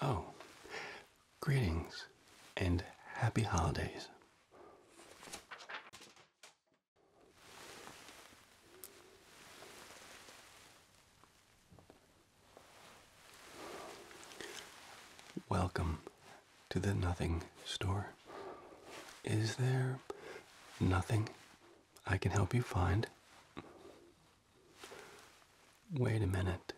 Oh, greetings and happy holidays. Welcome to the Nothing Store. Is there nothing I can help you find? Wait a minute.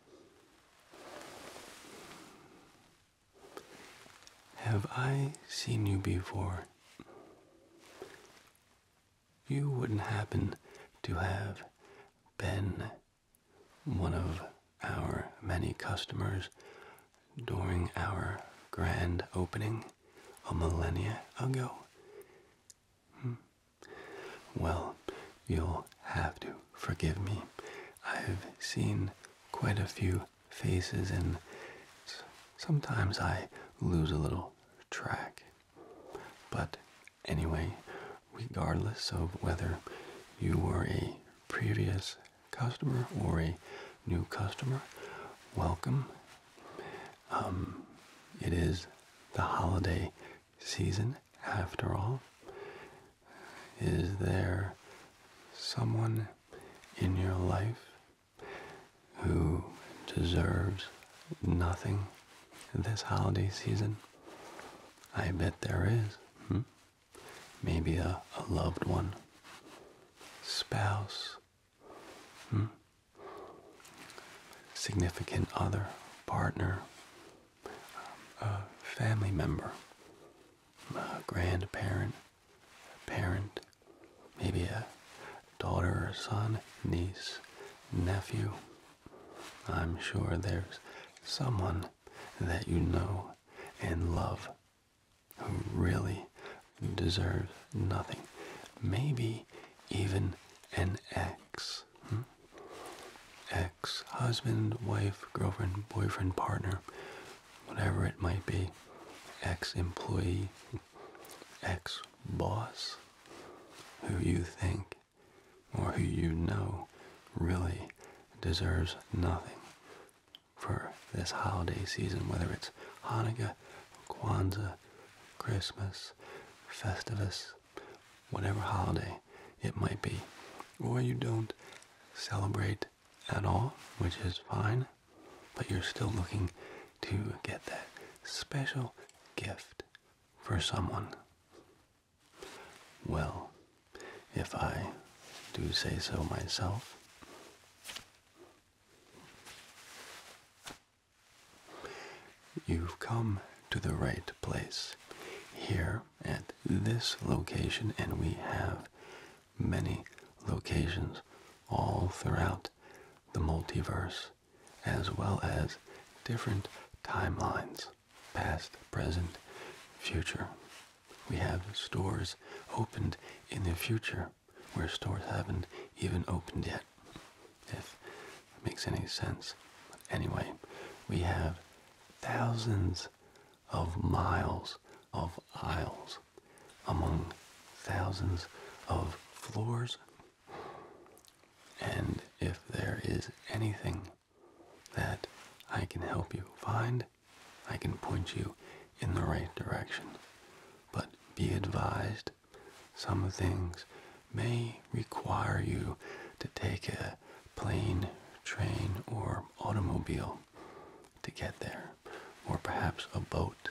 Have I seen you before? You wouldn't happen to have been one of our many customers during our grand opening a millennia ago. Hmm. Well, you'll have to forgive me. I've seen quite a few faces, and sometimes I lose a little track. But anyway, regardless of whether you were a previous customer or a new customer, welcome. Um, it is the holiday season after all. Is there someone in your life who deserves nothing this holiday season? I bet there is. Hmm? Maybe a, loved one, spouse, hmm? significant other, partner, a family member, a grandparent, a parent, maybe a daughter or son, niece, nephew. I'm sure there's someone that you know and love who really deserves nothing. Maybe even an ex. Hmm? Ex husband, wife, girlfriend, boyfriend, partner whatever it might be, ex employee, ex boss, who you think or who you know really deserves nothing for this holiday season, whether it's Hanukkah, Kwanzaa, Christmas, Festivus, whatever holiday it might be, or you don't celebrate at all, which is fine, but you're still looking to get that special gift for someone. Well, if I do say so myself, you've come to the right place here at this location, and we have many locations all throughout the multiverse, as well as different timelines past, present, future. We have stores opened in the future where stores haven't even opened yet, if it makes any sense. Anyway, we have thousands of miles of aisles among thousands of floors. And if there is anything that I can help you find, I can point you in the right direction. But be advised, some things may require you to take a plane, train, or automobile to get there, or perhaps a boat,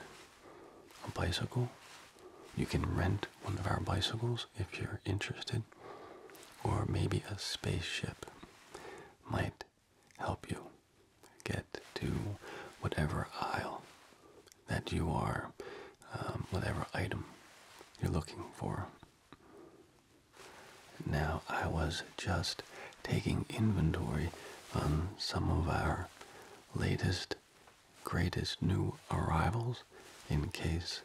a bicycle. You can rent one of our bicycles if you're interested, or maybe a spaceship might help you get to whatever aisle that you are, um, whatever item you're looking for. Now, I was just taking inventory on some of our latest, greatest new arrivals in case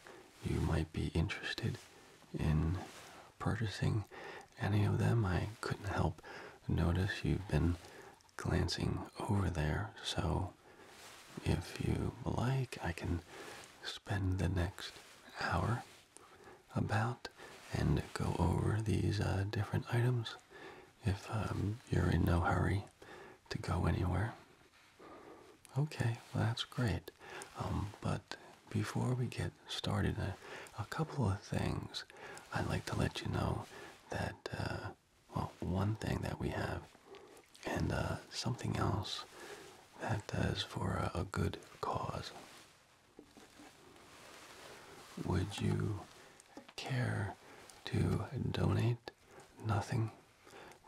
you might be interested in purchasing any of them. I couldn't help notice you've been glancing over there, so if you like, I can spend the next hour about and go over these uh, different items if um, you're in no hurry to go anywhere. Okay, well that's great. Um, but before we get started, uh, a couple of things I'd like to let you know that, uh, well, one thing that we have and uh, something else that does for a good cause. Would you care to donate nothing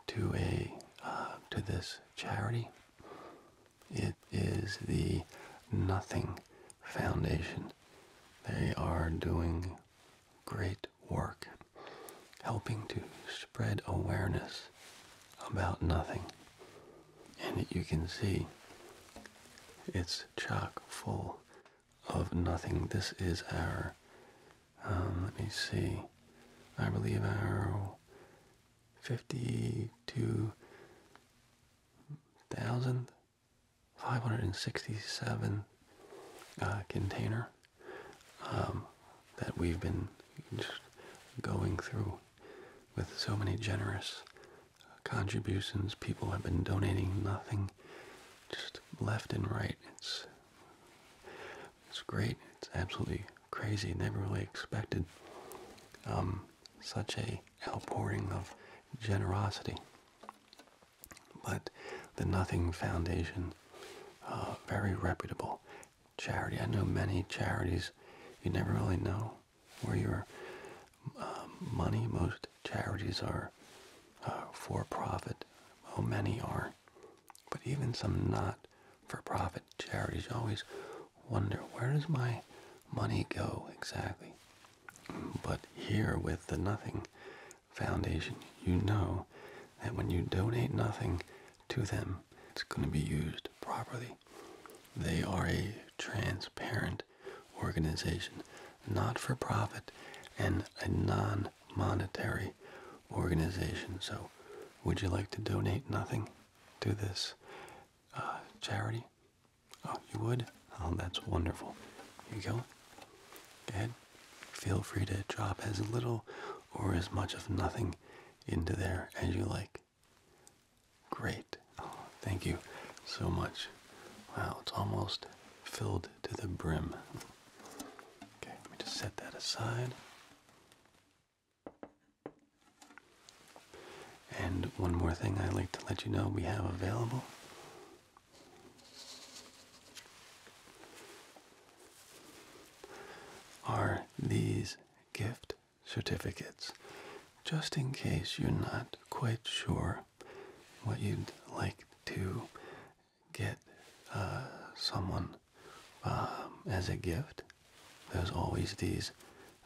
to a uh, to this charity, it is the Nothing Foundation. They are doing great work, helping to spread awareness about nothing. And you can see it's chock full of nothing. This is our, um, let me see, I believe our 52,567 uh, container um, that we've been going through with so many generous contributions. People have been donating nothing, just left and right. It's it's great. It's absolutely crazy. Never really expected um, such a outpouring of generosity. But the Nothing Foundation, uh, very reputable charity. I know many charities you never really know where you're. Um, money. Most charities are uh, for profit. Oh, many are, but even some not for profit charities. always wonder where does my money go exactly. But here with the Nothing Foundation, you know that when you donate nothing to them, it's going to be used properly. They are a transparent organization, not for profit, and a non monetary organization. So, would you like to donate nothing to this uh, charity? Oh, you would? Oh, that's wonderful. you go. Go ahead. Feel free to drop as little or as much of nothing into there as you like. Great. Oh, thank you so much. Wow, it's almost filled to the brim. Okay, let me just set that aside. And one more thing I'd like to let you know we have available. Are these gift certificates? Just in case you're not quite sure what you'd like to get uh, someone um, as a gift. There's always these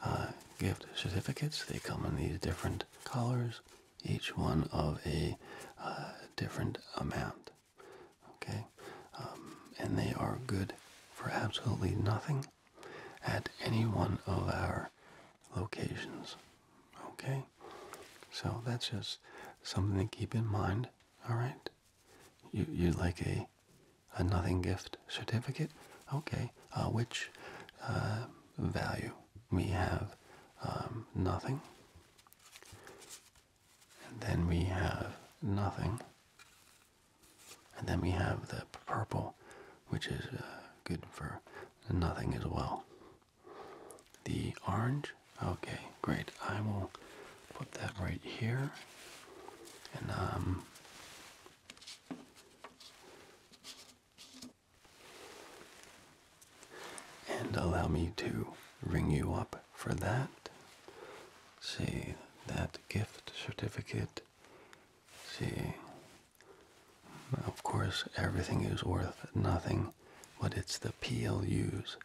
uh, gift certificates. They come in these different colors, each one of a uh, different amount. Okay, um, and they are good for absolutely nothing at any one of our locations. Okay, so that's just something to keep in mind, all right? You, you like a, a nothing gift certificate? Okay, uh, which uh, value? We have um, nothing. And then we have nothing. And then we have the purple, which is uh, good for nothing as well. The orange? Okay, great. I will put that right here. Um, and, allow me to ring you up for that. See that gift certificate. See of course, everything is worth nothing, but it's the PLUs,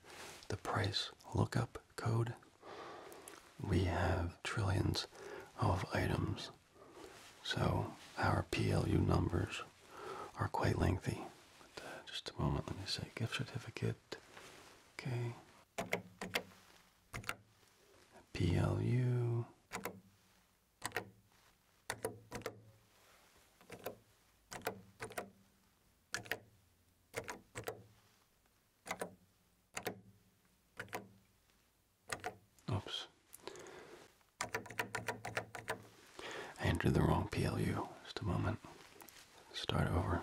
the price lookup code. We have trillions of items, so our PLU numbers are quite lengthy. Uh, just a moment, let me say gift certificate. Okay. PLU. Oops. I entered the wrong PLU. Just a moment. Start over.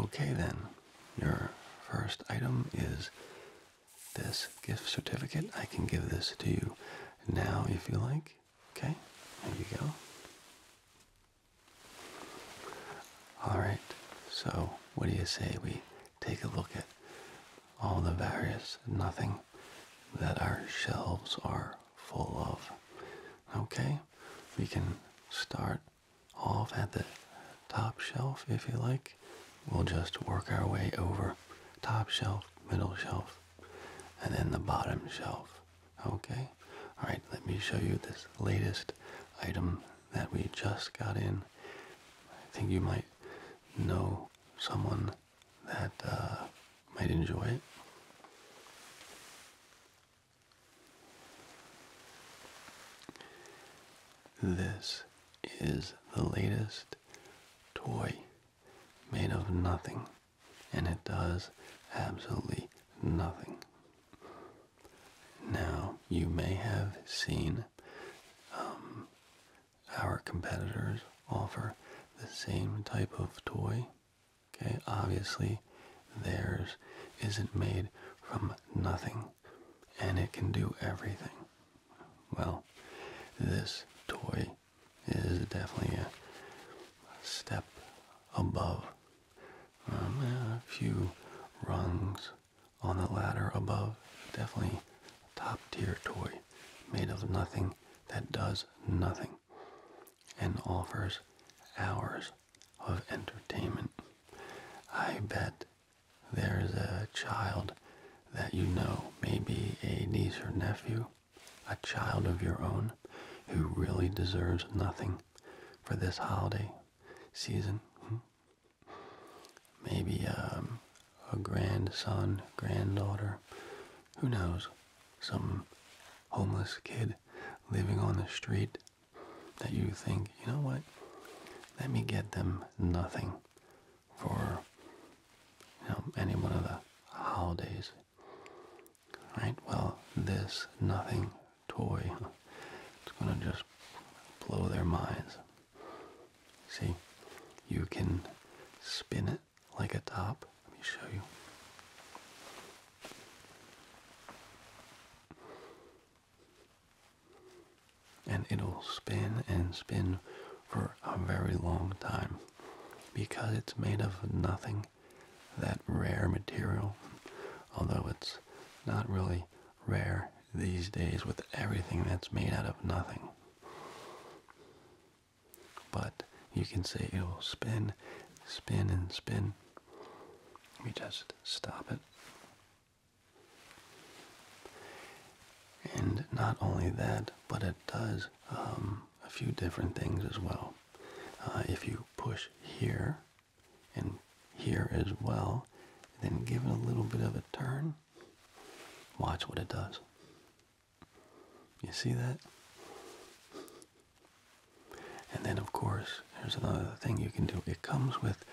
Okay then, your first item is this gift certificate. I can give this to you now if you like. Okay, there you go. Alright, so what do you say we take a look at all the various nothing that our shelves are full of? Okay, we can start off at the top shelf, if you like. We'll just work our way over top shelf, middle shelf, and then the bottom shelf. Okay? Alright, let me show you this latest item that we just got in. I think you might know someone that uh, might enjoy it. This is the latest toy made of nothing, and it does absolutely nothing. Now, you may have seen um, our competitors offer the same type of toy. Okay, obviously, theirs isn't made from nothing and it can do everything. Well, this toy is definitely a step above, um, a few rungs on the ladder above. Definitely top tier toy made of nothing that does nothing and offers hours of entertainment. I bet there's a child that you know, maybe a niece or nephew, a child of your own, who really deserves nothing for this holiday season. Hmm. Maybe um, a grandson, granddaughter, who knows, some homeless kid living on the street that you think, you know what, let me get them nothing for you know, any one of the holidays. Right? Well, this nothing toy it's going to just blow their minds. See, you can spin it like a top. Let me show you and it'll spin and spin for a very long time because it's made of nothing that rare material although it's not really rare these days with everything that's made out of nothing but you can see it'll spin spin and spin let me just stop it and not only that, but it does um, a few different things as well. Uh, if you push here and here as well, then give it a little bit of a turn, watch what it does. You see that? And then, of course, there's another thing you can do. It comes with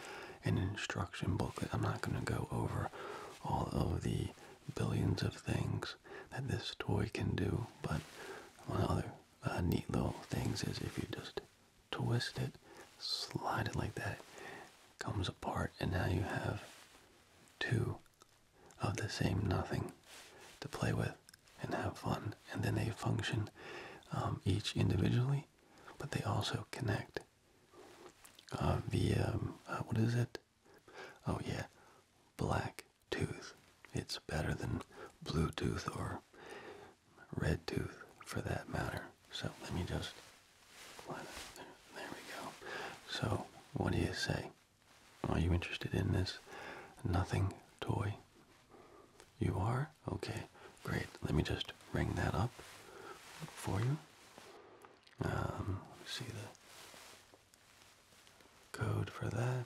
an instruction booklet. I'm not going to go over all of the billions of things that this toy can do, but one other uh, neat little things is if you just twist it, slide it like that, it comes apart, and now you have two of the same nothing to play with and have fun. And then they function um, each individually, but they also connect uh, um, uh, what is it? Oh yeah, black tooth. It's better than Bluetooth or red tooth for that matter. So let me just. there we go. So what do you say? Are you interested in this? Nothing toy. You are okay. Great. Let me just ring that up for you. Um, see the code for that.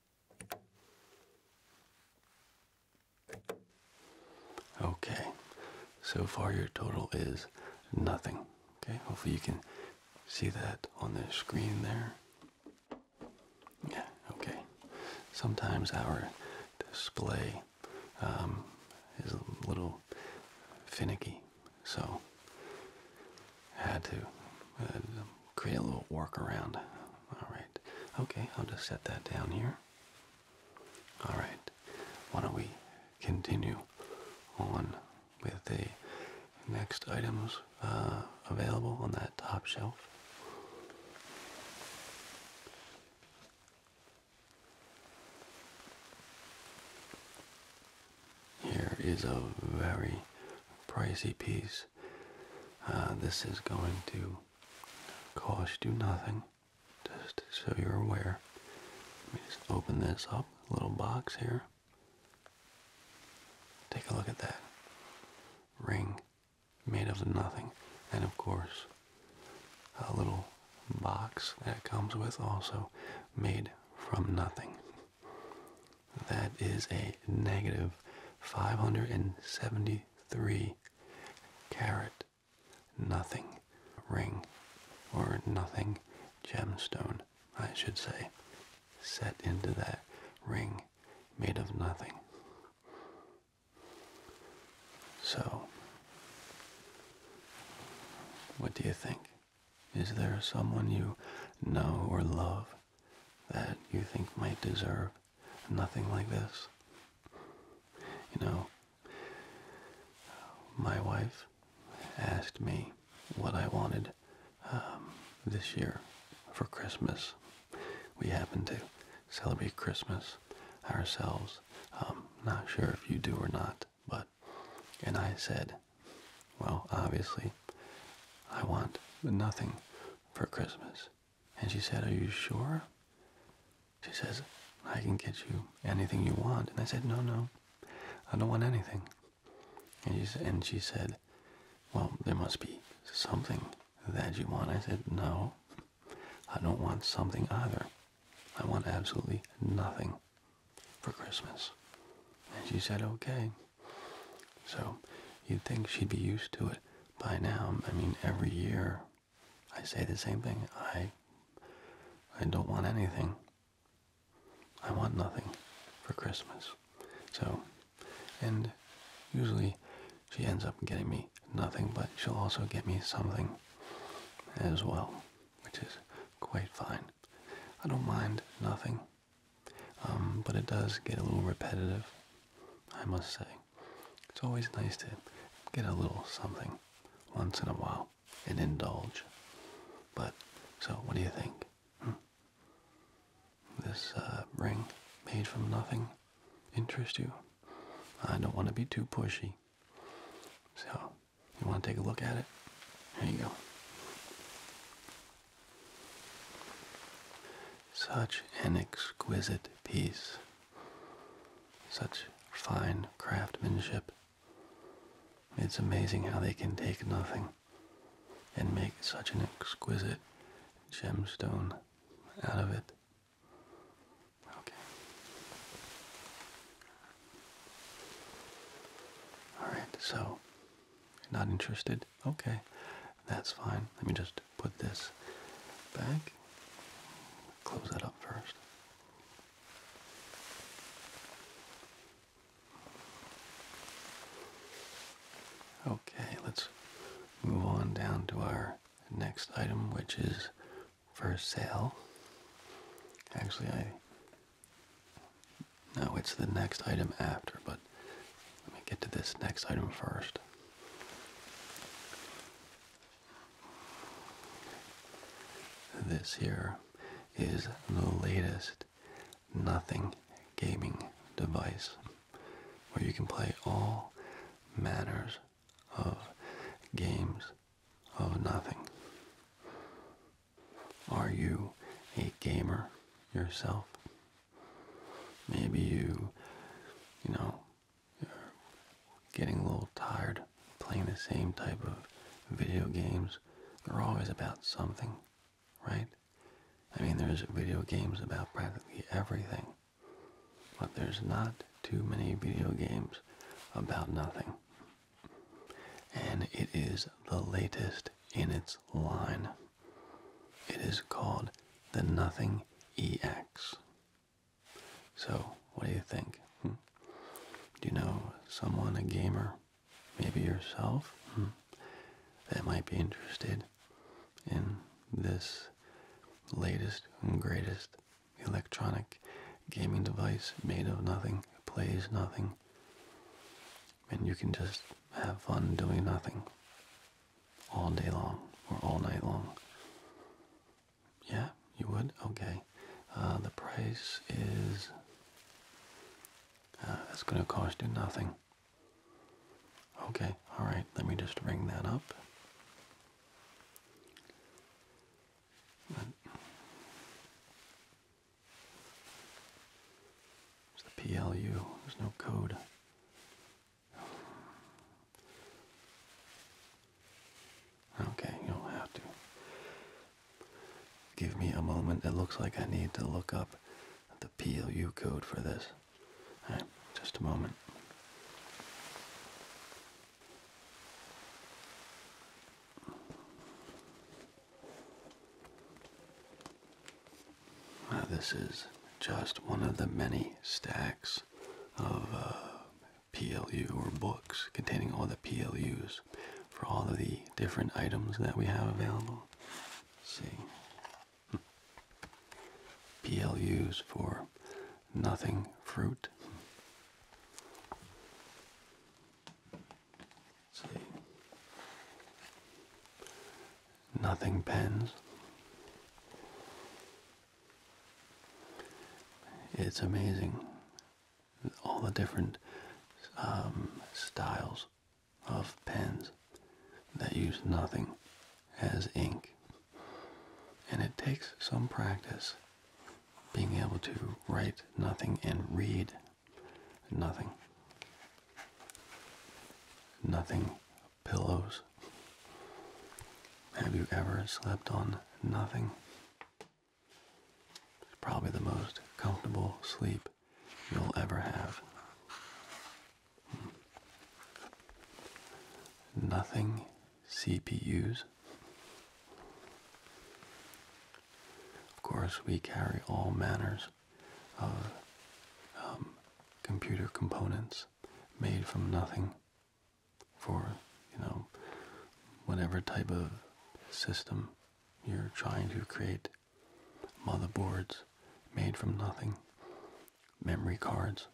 Okay, so far your total is nothing. Okay, hopefully you can see that on the screen there. Yeah, okay. Sometimes our display um, is a little finicky, so I had to uh, create a little workaround all right. Okay, I'll just set that down here. All right. Why don't we continue on with the next items uh, available on that top shelf? Here is a very pricey piece. Uh, this is going to cost you nothing. Just so you're aware. Let me just open this up, little box here. Take a look at that. Ring made of nothing. And of course, a little box that comes with also made from nothing. That is a negative 573 Carrot, nothing ring, or nothing gemstone, I should say, set into that ring made of nothing. So, what do you think? Is there someone you know or love that you think might deserve nothing like this. You know, my wife asked me what I wanted um, this year for Christmas. We happen to celebrate Christmas ourselves. Um, not sure if you do or not, but, and I said, well, obviously, I want nothing for Christmas. And she said, Are you sure? She says, I can get you anything you want. And I said, No, no, I don't want anything. And she, and she said, Well, there must be something that you want. I said, No, I don't want something either. I want absolutely nothing for Christmas. And she said, Okay. So you'd think she'd be used to it by now. I mean, every year I say the same thing. I I don't want anything. I want nothing for Christmas. So, and usually she ends up getting me nothing, but she'll also get me something as well, which is quite fine. I don't mind nothing, um, but it does get a little repetitive, I must say. It's always nice to get a little something once in a while and indulge. But, so what do you think? Hmm. This uh, ring made from nothing interest you? I don't want to be too pushy. So, you want to take a look at it? Here you go. Such an exquisite piece such fine craftsmanship. It's amazing how they can take nothing and make such an exquisite gemstone out of it. Okay. Alright, so, not interested? Okay. That's fine. Let me just put this back. Close that up first. Okay, let's move on down to our next item, which is for sale. Actually, I. No, it's the next item after, but let me get to this next item first. This here is the latest nothing gaming device where you can play all manners of games of nothing. Are you a gamer yourself? Maybe you, you know, you're getting a little tired playing the same type of video games. They're always about something, right? I mean, there's video games about practically everything, but there's not too many video games about nothing. And it is the latest in its line. It is called the Nothing EX. So, what do you think? Hmm? Do you know someone, a gamer, maybe yourself, hmm, that might be interested in this latest and greatest electronic gaming device made of nothing, plays nothing, and you can just have fun doing nothing? all day long or all night long? Yeah, you would? Okay. Uh, the price is. Uh, it's going to cost you nothing. Okay, alright, let me just ring that up. It's the PLU, there's no code. Okay, you'll have to. Give me a moment. It looks like I need to look up the PLU code for this. just a moment. this is just one of the many stacks of uh, PLU or books containing all the PLUs for all of the different items that we have available. see. PLUs for nothing fruit. see. Nothing pens. It's amazing all the different um, styles of pens that use nothing as ink. And it takes some practice being able to write nothing and read nothing. Nothing pillows have you ever slept on nothing? probably the most comfortable sleep you'll ever have. Nothing CPUs. Of course, we carry all manners of um, computer components made from nothing for you know whatever type of system you're trying to create motherboards made from nothing memory cards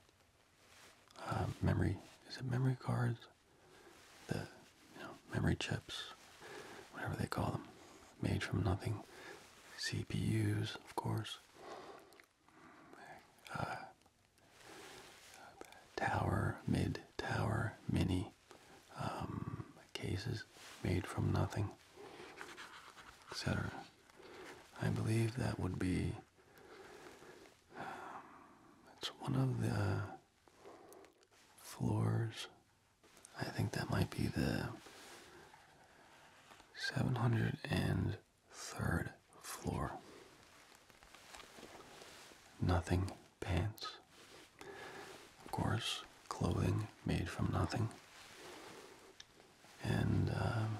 uh, memory is it memory cards the memory chips whatever they call them made from nothing cpus of course tower, mid tower, mini um, cases made from nothing, etc. I believe that would be. Um, it's one of the floors. I think that might be the 700 and third floor. Nothing pants. Of course, clothing made from nothing. And um,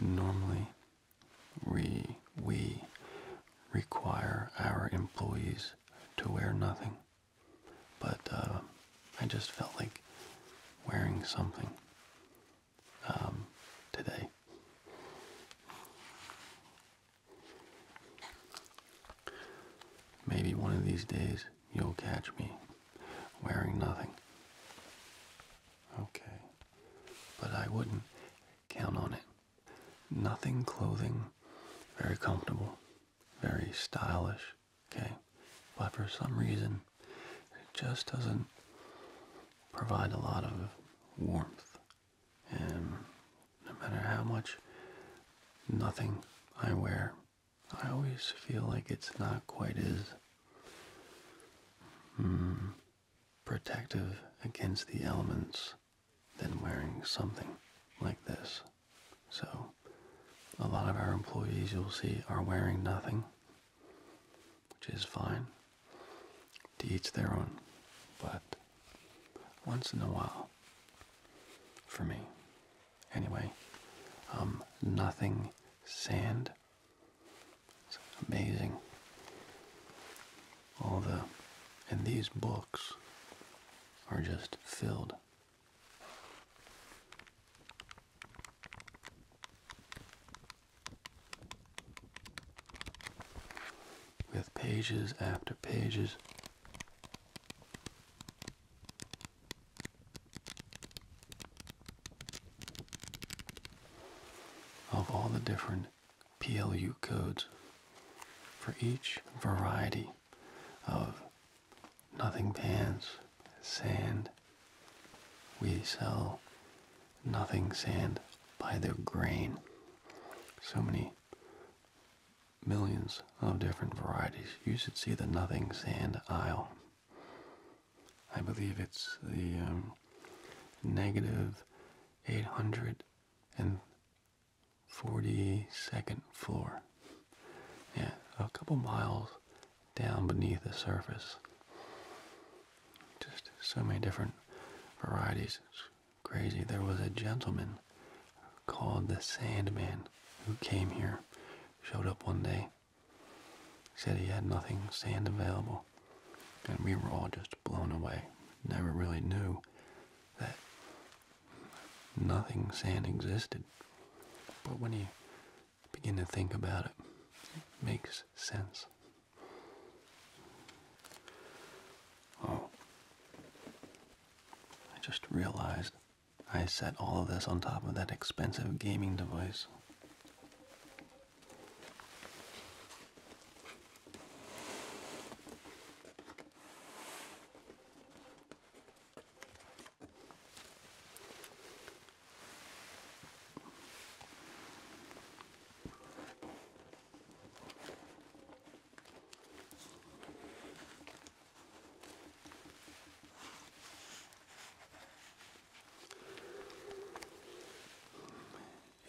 normally we, require our employees to wear nothing. But uh, I just felt like wearing something um, today. Maybe one of these days you'll catch me wearing nothing. Okay. But I wouldn't count on it. Nothing clothing, very comfortable, very stylish, okay? But for some reason, it just doesn't provide a lot of warmth. And no matter how much nothing I wear, I always feel like it's not quite as mm, protective against the elements than wearing something like this. So, a lot of our employees you'll see are wearing nothing which is fine to each their own, but once in a while, for me, anyway, um, nothing sand. amazing. All the, and these books are just filled with pages after pages of all the different PLU codes for each variety of nothing pans, sand, we sell nothing sand by the grain. So many millions of different varieties. You should see the nothing sand aisle. I believe it's the 842nd um, floor. Yeah, a couple miles down beneath the surface. Just so many different varieties. crazy. There was a gentleman called the Sandman who came here, showed up one day, said he had nothing sand available, and we were all just blown away. Never really knew that nothing sand existed. But when he begin to think about it, makes sense. Oh, I just realized I set all of this on top of that expensive gaming device.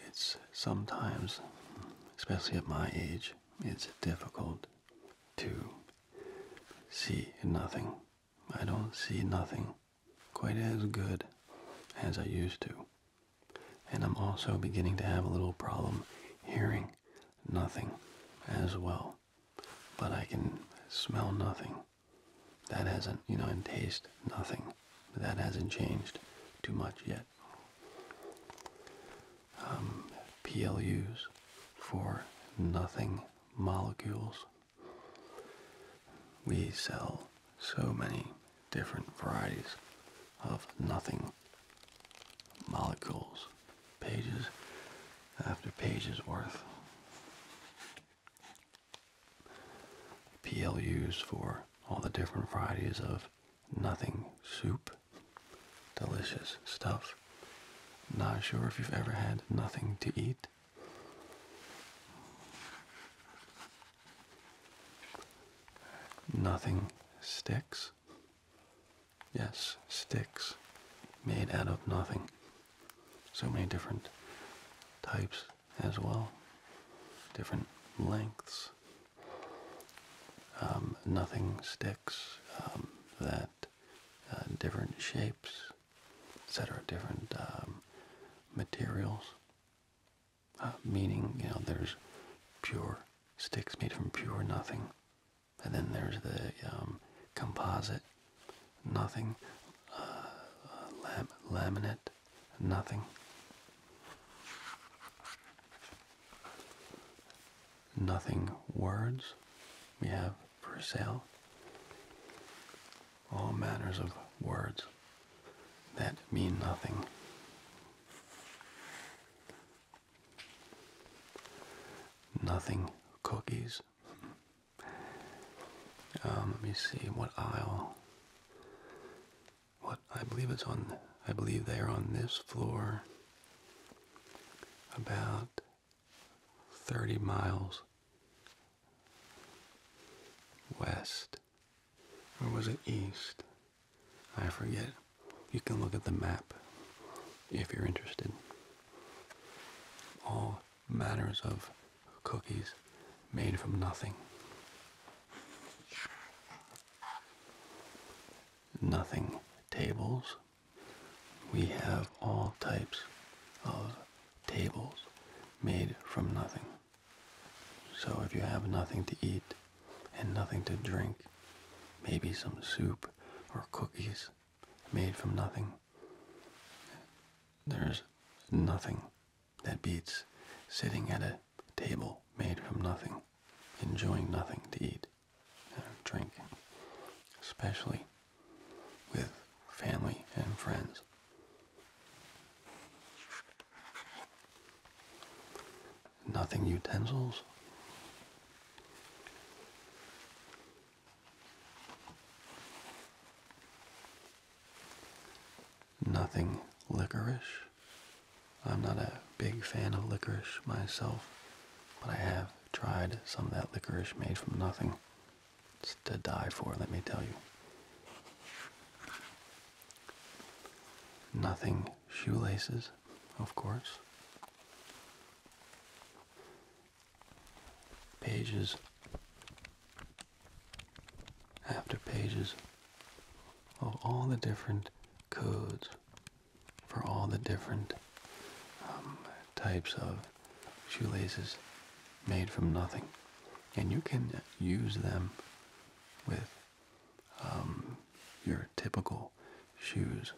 It's sometimes, especially at my age, it's difficult to see nothing. I don't see nothing quite as good as I used to. And I'm also beginning to have a little problem hearing nothing as well. But I can smell nothing. That hasn't, you know, and taste nothing. That hasn't changed too much yet. Um, PLUs for nothing molecules we sell so many different varieties of nothing. Molecules, pages after pages worth. PLUs for all the different varieties of nothing soup. Delicious stuff. Not sure if you've ever had nothing to eat. Nothing sticks. Yes, sticks made out of nothing. So many different types as well, different lengths. Um, nothing sticks um, that uh, different shapes, etc., different um, materials, meaning you know there's pure sticks made from pure nothing, and then there's the um, composite nothing, uh, lam laminate nothing. Nothing words we have for sale all manners of words that mean nothing. Nothing cookies. Um, let me see what aisle. What I believe it's on. I believe they are on this floor. About 30 miles west or was it east? I forget. You can look at the map if you're interested. All manners of cookies made from nothing. Nothing tables. We have all types of tables made from nothing. So if you have nothing to eat and nothing to drink, maybe some soup or cookies made from nothing, there's nothing that beats sitting at a table made from nothing, enjoying nothing to eat and drink, especially with family and friends. Nothing utensils. Nothing licorice. I'm not a big fan of licorice myself, but I have tried some of that licorice made from nothing to die for, let me tell you. Nothing shoelaces, of course. Pages after pages of all the different codes for all the different um, types of shoelaces made from nothing and you can use them with um, your typical shoes,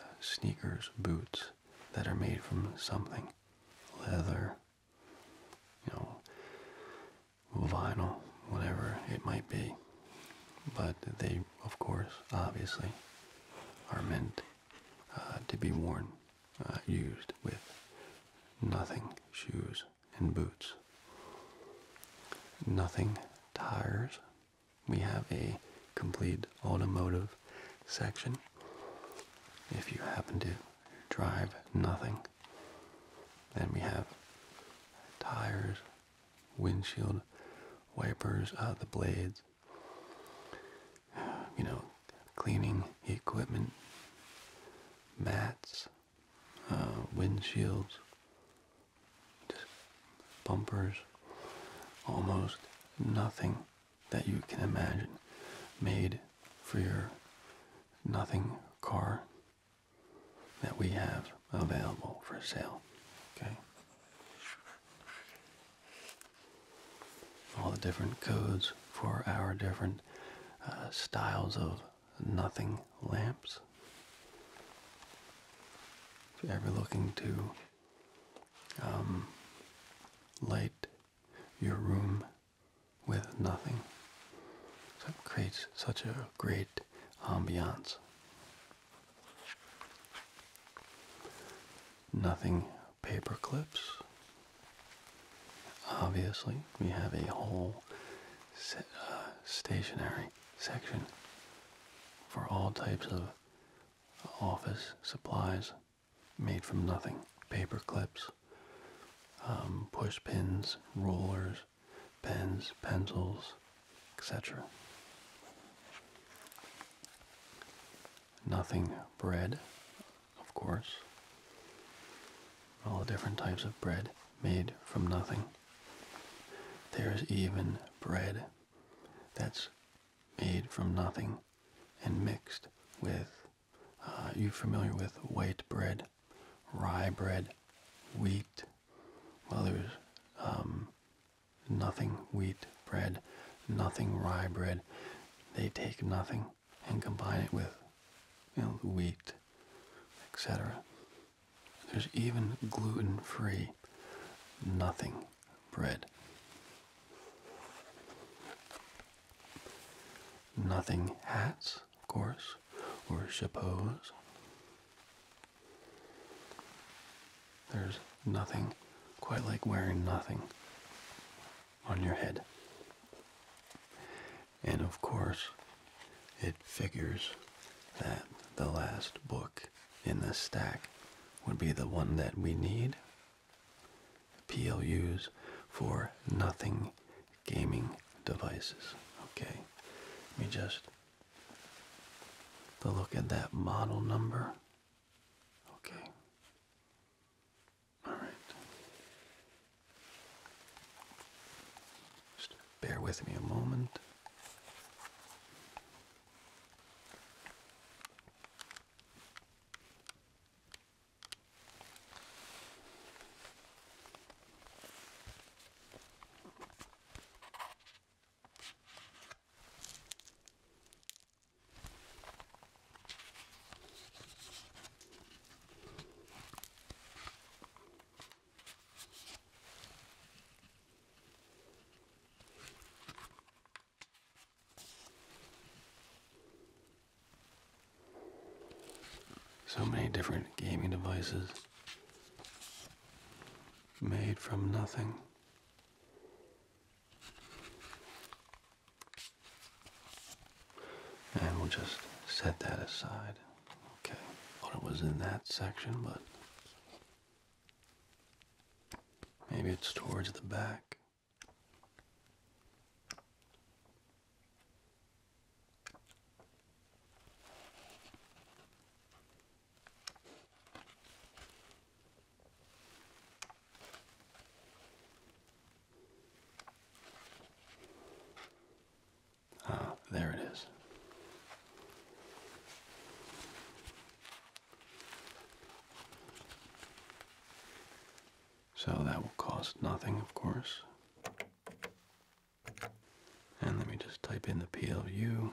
uh, sneakers, boots that are made from something, leather, you know, vinyl, whatever it might be. But they, of course, obviously, are meant uh, to be worn uh, used with nothing shoes and boots. Nothing tires. We have a complete automotive section. If you happen to drive nothing, then we have tires, windshield wipers, uh, the blades, you know, cleaning equipment, mats, uh, windshields, bumpers, almost nothing that you can imagine made for your nothing car that we have available for sale. Okay. All the different codes for our different uh, styles of nothing lamps. If you're ever looking to um, light your room with nothing, so it creates such a great ambiance. Nothing paper clips. Obviously, we have a whole uh, stationary section for all types of office supplies made from nothing. Paper clips, um, push pins, rollers, pens, pencils, etc. Nothing bread of course. All the different types of bread made from nothing. There's even bread that's made from nothing and mixed with, uh, you familiar with white bread, rye bread, wheat. Well, there's um, nothing wheat bread, nothing rye bread. They take nothing and combine it with you know, wheat, etc. There's even gluten-free nothing bread. Nothing hats, of course, or chapeaus. There's nothing quite like wearing nothing on your head. And of course, it figures that the last book in the stack would be the one that we need. PLUs for nothing gaming devices. Okay, let me just look at that model number. Okay. All right. Just bear with me a moment. So many different gaming devices made from nothing. And we'll just set that aside. Okay, thought it was in that section, but maybe it's towards the back. Ah, there it is. So that will cost nothing, of course. And let me just type in the PLU.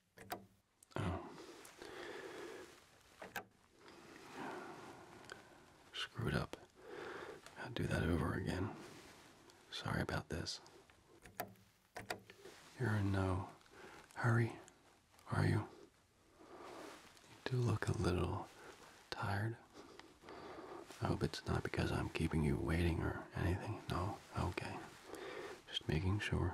Oh. Screwed up. I'll do that over again. Sorry about this. You're in no hurry, are you? You do look a little tired. I hope it's not because I'm keeping you waiting or anything. No? Okay. Just making sure.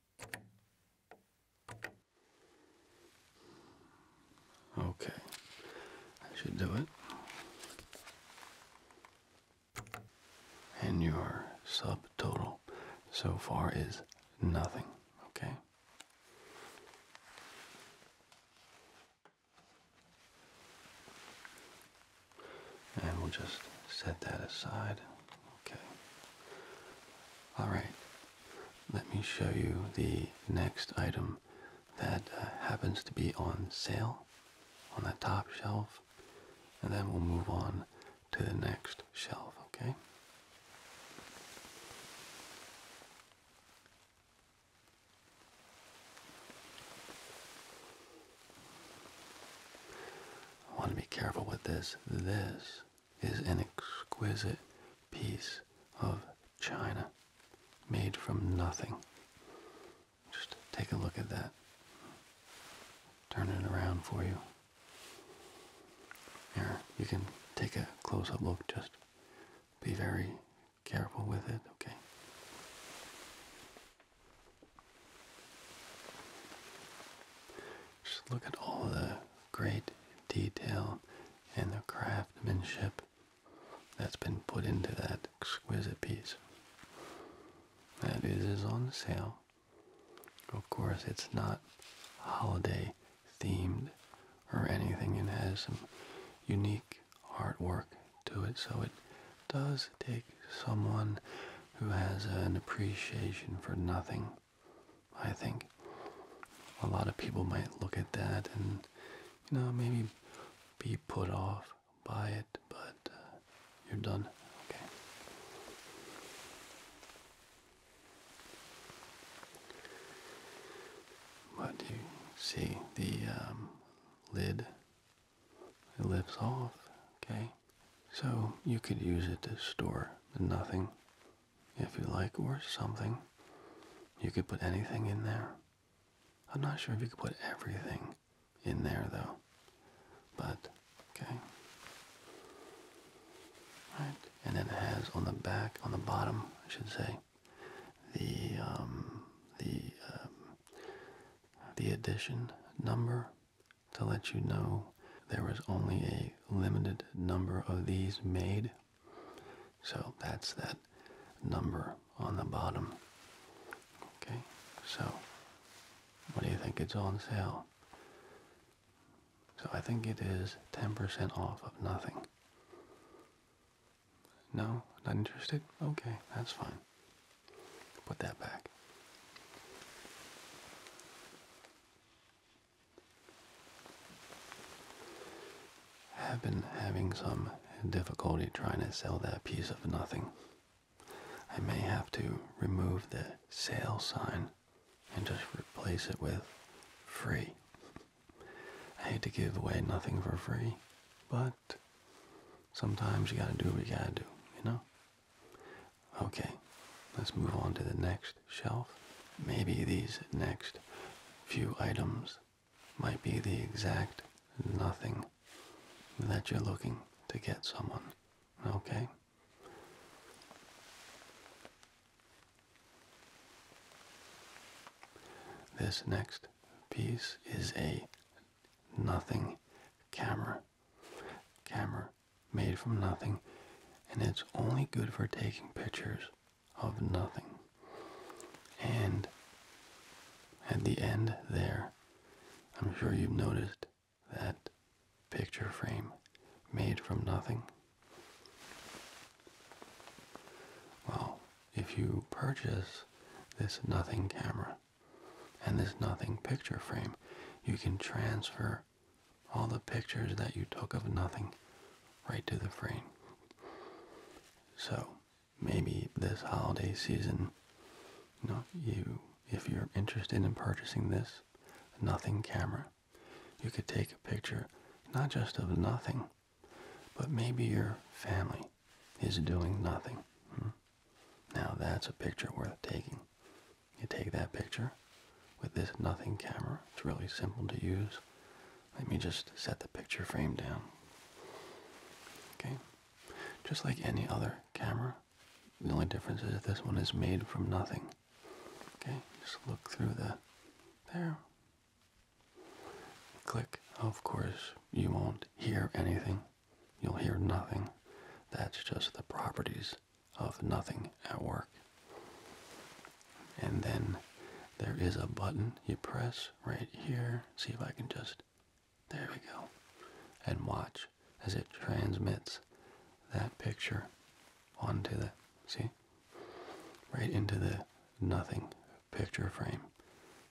Okay, I should do it. And your subtotal so far is nothing, okay? And we'll just set that aside. Okay. All right let me show you the next item that uh, happens to be on sale on the top shelf and then we'll move on to the next shelf okay I want to be careful with this this is an exquisite piece of china made from nothing. Just take a look at that. Turn it around for you. Here, you can take a close-up look. Just be very careful with it, okay? Just look at all the great detail and the craftsmanship that's been put into that exquisite piece. That is, on sale. Of course, it's not holiday themed or anything. It has some unique artwork to it, so it does take someone who has an appreciation for nothing I think a lot of people might look at that and, you know, maybe be put off by it, but uh, you're done. Okay. But you see the um, lid, it lifts off, okay? So you could use it to store nothing if you like, or something. You could put anything in there. I'm not sure if you could put everything in there though. But, okay. Right. And then it has on the back, on the bottom, I should say, the um, the um, the edition number to let you know there was only a limited number of these made. So that's that number on the bottom. Okay, so what do you think it's on sale? So I think it is 10% off of nothing. No, not interested? Okay, that's fine. Put that back. Have been having some difficulty trying to sell that piece of nothing. I may have to remove the sale sign and just replace it with free. I hate to give away nothing for free, but sometimes you gotta do what you gotta do, you know? Okay, let's move on to the next shelf. Maybe these next few items might be the exact nothing that you're looking to get someone. Okay? This next piece is a nothing camera. Camera made from nothing, and it's only good for taking pictures of nothing. And at the end there, I'm sure you've noticed that picture frame made from nothing. Well, if you purchase this nothing camera and this nothing picture frame, you can transfer all the pictures that you took of nothing right to the frame. So maybe this holiday season, you you if you're interested in purchasing this nothing camera, you could take a picture not just of nothing, but maybe your family is doing nothing. Hmm? Now that's a picture worth taking. You take that picture with this nothing camera. It's really simple to use. Let me just set the picture frame down. Okay. Just like any other camera, the only difference is this one is made from nothing. Okay, just look through the there. Click. Of course, you won't hear anything. You'll hear nothing. That's just the properties of nothing at work. And then there is a button you press right here. See if I can just, there we go. And watch as it transmits that picture onto the, see? Right into the nothing picture frame.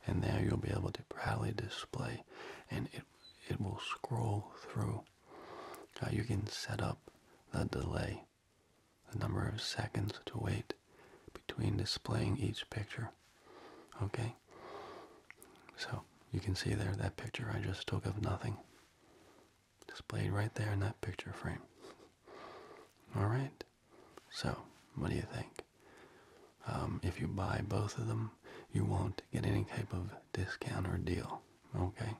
And there you'll be able to proudly display and it, it will scroll through. Uh, you can set up the delay the number of seconds to wait between displaying each picture. Okay? So you can see there that picture I just took of nothing displayed right there in that picture frame. Alright? So, what do you think? Um, if you buy both of them, you won't get any type of discount or deal. Okay?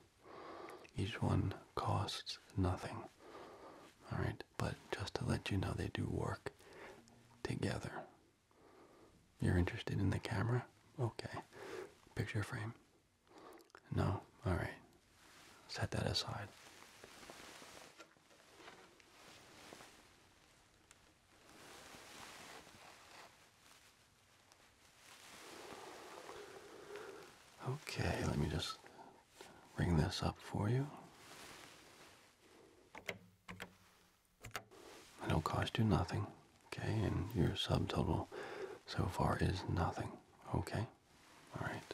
Each one costs nothing. Alright, but just to let you know, they do work together. You're interested in the camera? Okay. Picture frame? No? Alright. Set that aside. Okay, let me just bring this up for you. It'll cost you nothing, okay? And your subtotal so far is nothing, okay? All right.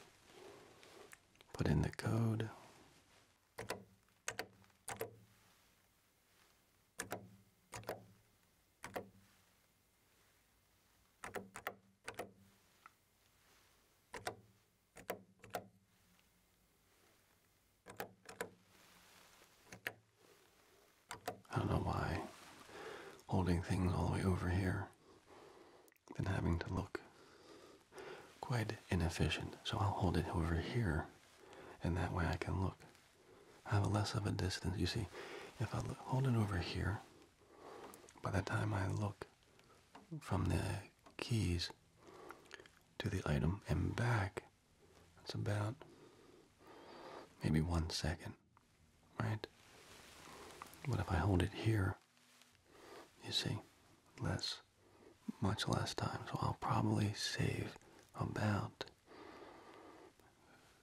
Put in the code. I don't know why holding things all the way over here and having to look quite inefficient. So I'll hold it over here and that way I can look. I have less of a distance. You see, if I hold it over here, by the time I look from the keys to the item and back, it's about maybe one second, right? But if I hold it here, you see, less, much less time. So I'll probably save about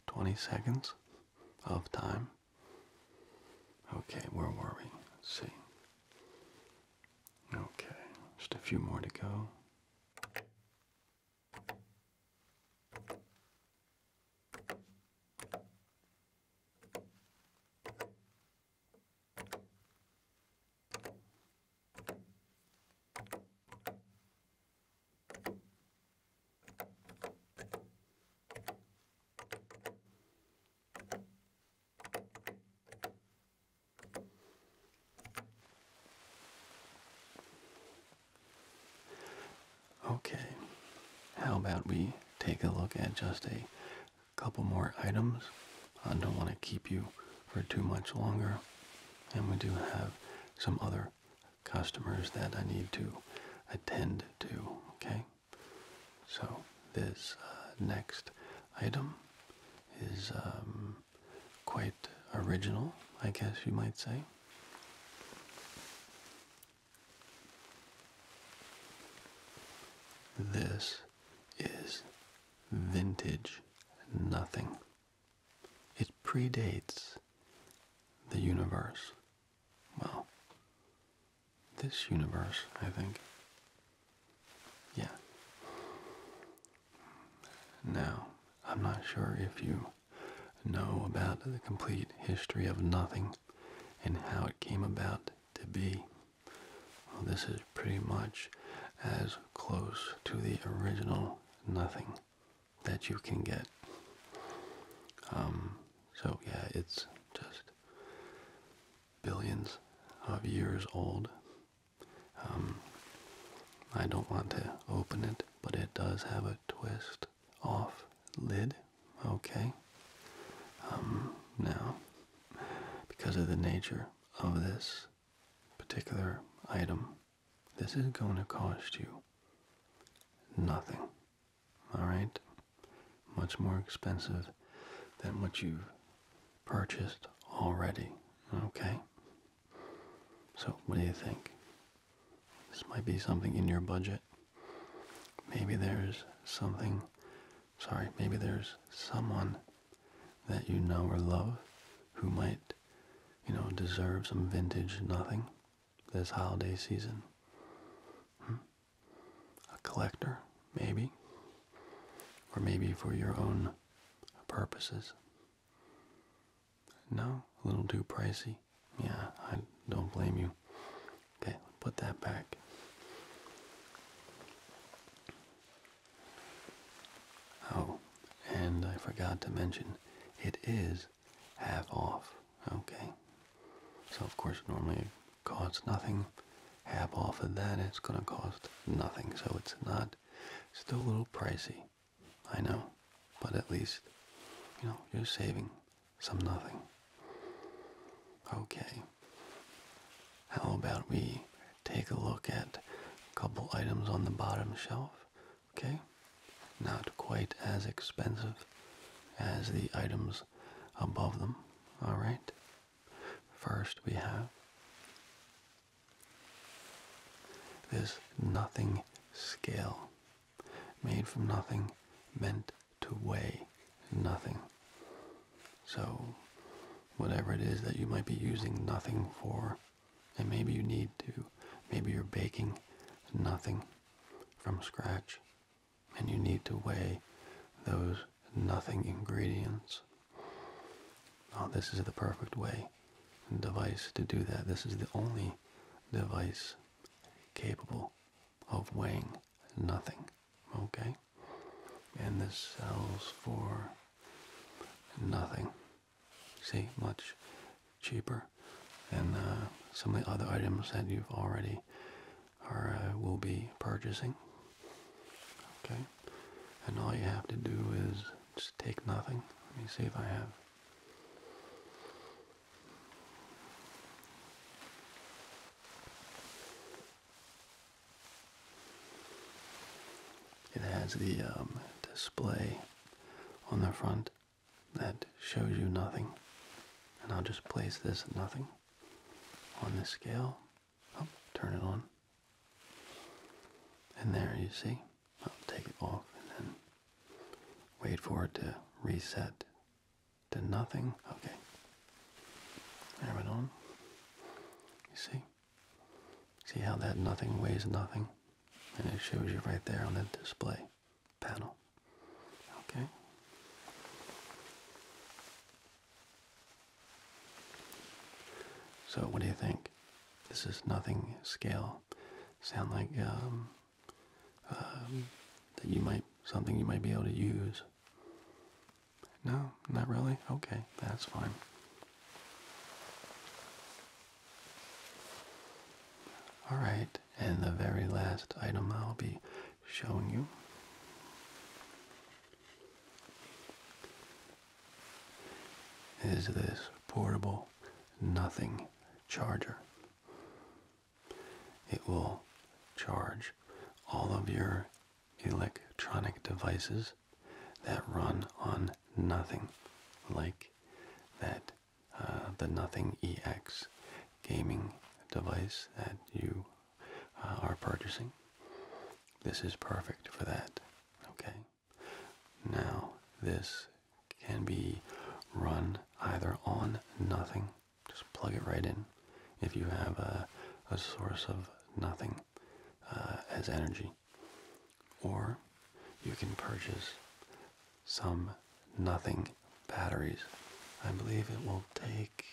20 seconds of time Okay, where were we? Let's see. Okay, just a few more to go. Okay, how about we take a look at just a couple more items? I don't want to keep you for too much longer, and we do have some other customers that I need to attend to, okay? So this uh, next item is um, quite original, I guess you might say. This is vintage nothing. It predates the universe well, this universe, I think. Yeah. Now, I'm not sure if you know about the complete history of nothing and how it came about to be. this is pretty much as close to the original nothing that you can get. Um, so yeah, it's just billions of years old. Um, I don't want to open it, but it does have a twist off lid. Okay. Um, now, because of the nature of this particular item, this is going to cost you nothing all right? Much more expensive than what you've purchased already, okay? So, what do you think? This might be something in your budget. Maybe there's something, sorry, maybe there's someone that you know or love who might, you know, deserve some vintage nothing this holiday season. Hmm? a collector, maybe, or maybe for your own purposes. No, a little too pricey. Yeah, I don't blame you. Okay, put that back. Oh, and I forgot to mention, it is half off. Okay. So of course normally it costs nothing. Half off of that it's gonna cost nothing. So it's not still a little pricey. I know. But at least you know you're saving some nothing. Okay. How about we take a look at a couple items on the bottom shelf? Okay. Not quite as expensive as the items above them. All right. First, we have this nothing scale, made from nothing, meant to weigh nothing. So, whatever it is that you might be using nothing for, and maybe you need to, maybe you're baking nothing from scratch and you need to weigh those nothing ingredients. this is the perfect way device to do that. This is the only device capable of weighing nothing. Okay? And this sells for nothing. See, much cheaper than uh, some of the other items that you've already or uh, will be purchasing. Okay, and all you have to do is just take nothing. Let me see if I have. It has the um, display on the front that shows you nothing. And I'll just place this nothing on this scale. Oh, turn it on. And there you see, I'll take it off and then wait for it to reset to nothing. Okay. There it on. You see? See how that nothing weighs nothing? And it shows you right there on the display panel. Okay. So, what do you think? This is nothing scale. Sound like um, um, that you might something you might be able to use. No, not really. Okay, that's fine. All right, and the very last item I'll be showing you. Is this portable nothing charger? It will charge all of your electronic devices that run on nothing, like that uh, the Nothing EX gaming device that you uh, are purchasing. This is perfect for that. Okay. Now, this can be run either on nothing, just plug it right in. If you have a, source of nothing uh, as energy, or you can purchase some nothing batteries. I believe it will take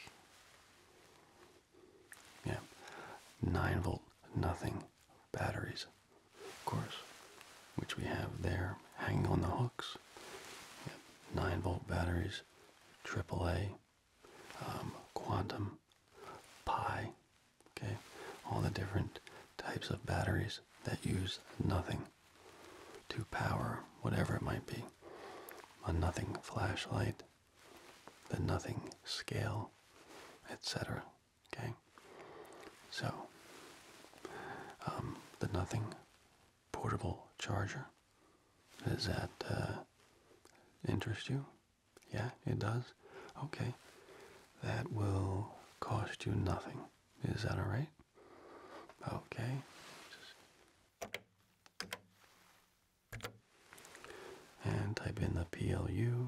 yeah, 9 volt nothing batteries, of course, which we have there hanging on the hooks. Yeah, 9 volt batteries, AAA, um, quantum, pi, okay, all the different types of batteries that use nothing to power whatever it might be a nothing flashlight, the nothing scale, etc. Okay? So, um, the nothing portable charger. Does that uh, interest you? Yeah, it does? Okay. That will cost you nothing. Is that alright? Okay. And type in the PLU.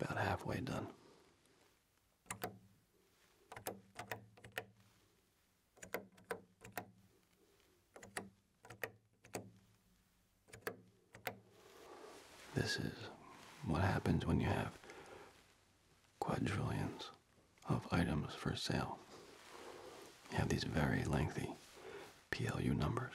About halfway done. This is what happens when you have quadrillions of items for sale. You have these very lengthy PLU numbers.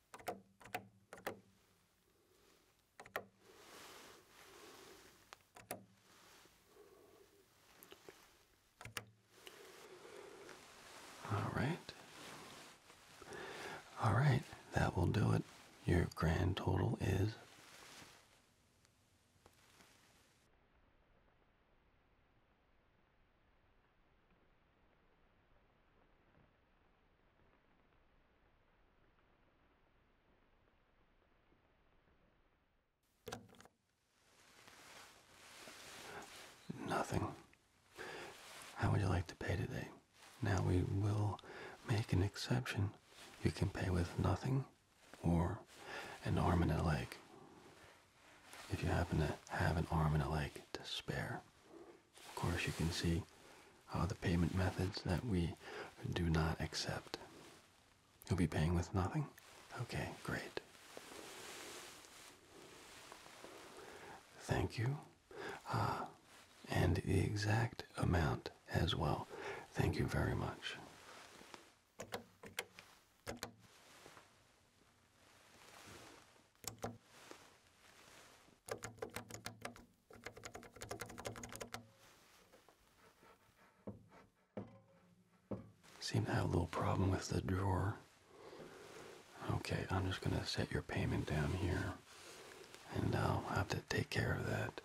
All right. All right, that will do it. Your grand total is Nothing. How would you like to pay today? Now we will make an exception. You can pay with nothing or an arm and a leg. If you happen to have an arm and a leg to spare. Of course, you can see uh, the payment methods that we do not accept. You'll be paying with nothing? Okay, great. Thank you. Uh, and the exact amount as well. Thank you very much. Seem to have a little problem with the drawer. Okay, I'm just gonna set your payment down here and I'll have to take care of that.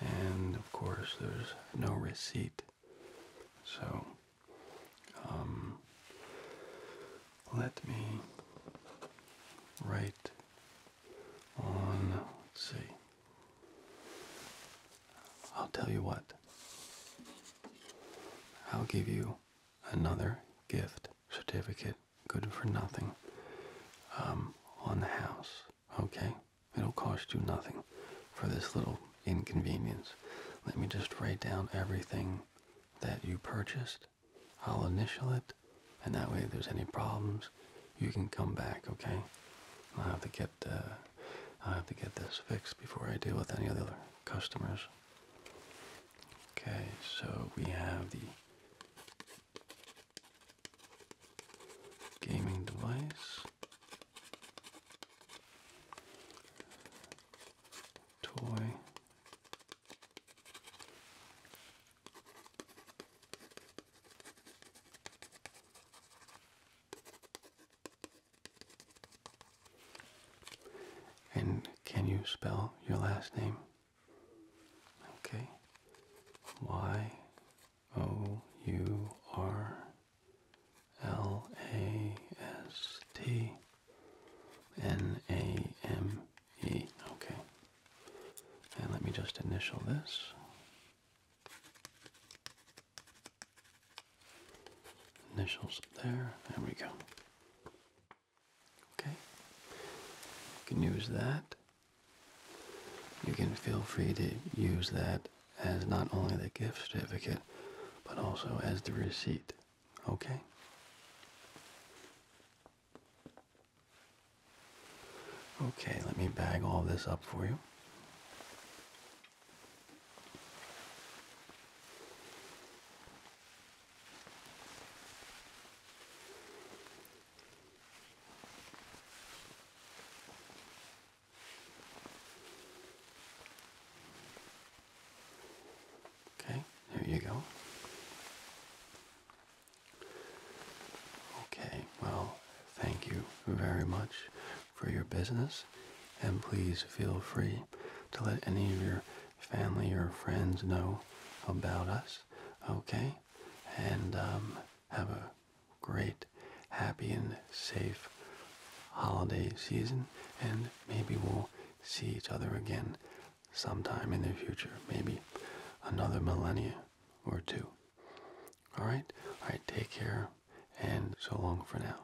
And of course, there's no receipt. So, um, let me write on, oh, see. I'll tell you what. I'll give you another gift certificate, good for nothing, um, on the house, okay? It'll cost you nothing for this little inconvenience. Let me just write down everything that you purchased I'll initial it, and that way if there's any problems, you can come back, okay? I'll have to get uh, I'll have to get this fixed before I deal with any other customers. Okay, so we have the gaming device, toy, and can you spell your last name? Okay. Y O U R L A S T N A M E. Okay. And let me just initial this. Initials there. There we go. Okay. You can use that. You can feel free to use that as not only the gift certificate, but also as the receipt. Okay? Okay, let me bag all this up for you. Okay, there you go. Okay, well, thank you very much for your business, and please feel free to let any of your family or friends know about us, okay? And um, have a great, happy, and safe holiday season, and maybe we'll see each other again sometime in the future, maybe another millennia or two. All right? All right, take care and so long for now.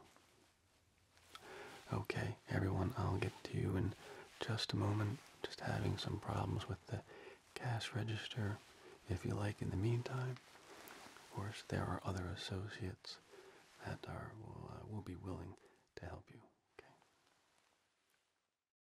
Okay, everyone, I'll get to you in just a moment. Just having some problems with the cash register. If you like, in the meantime, of course, there are other associates that are will, uh, will be willing to help you.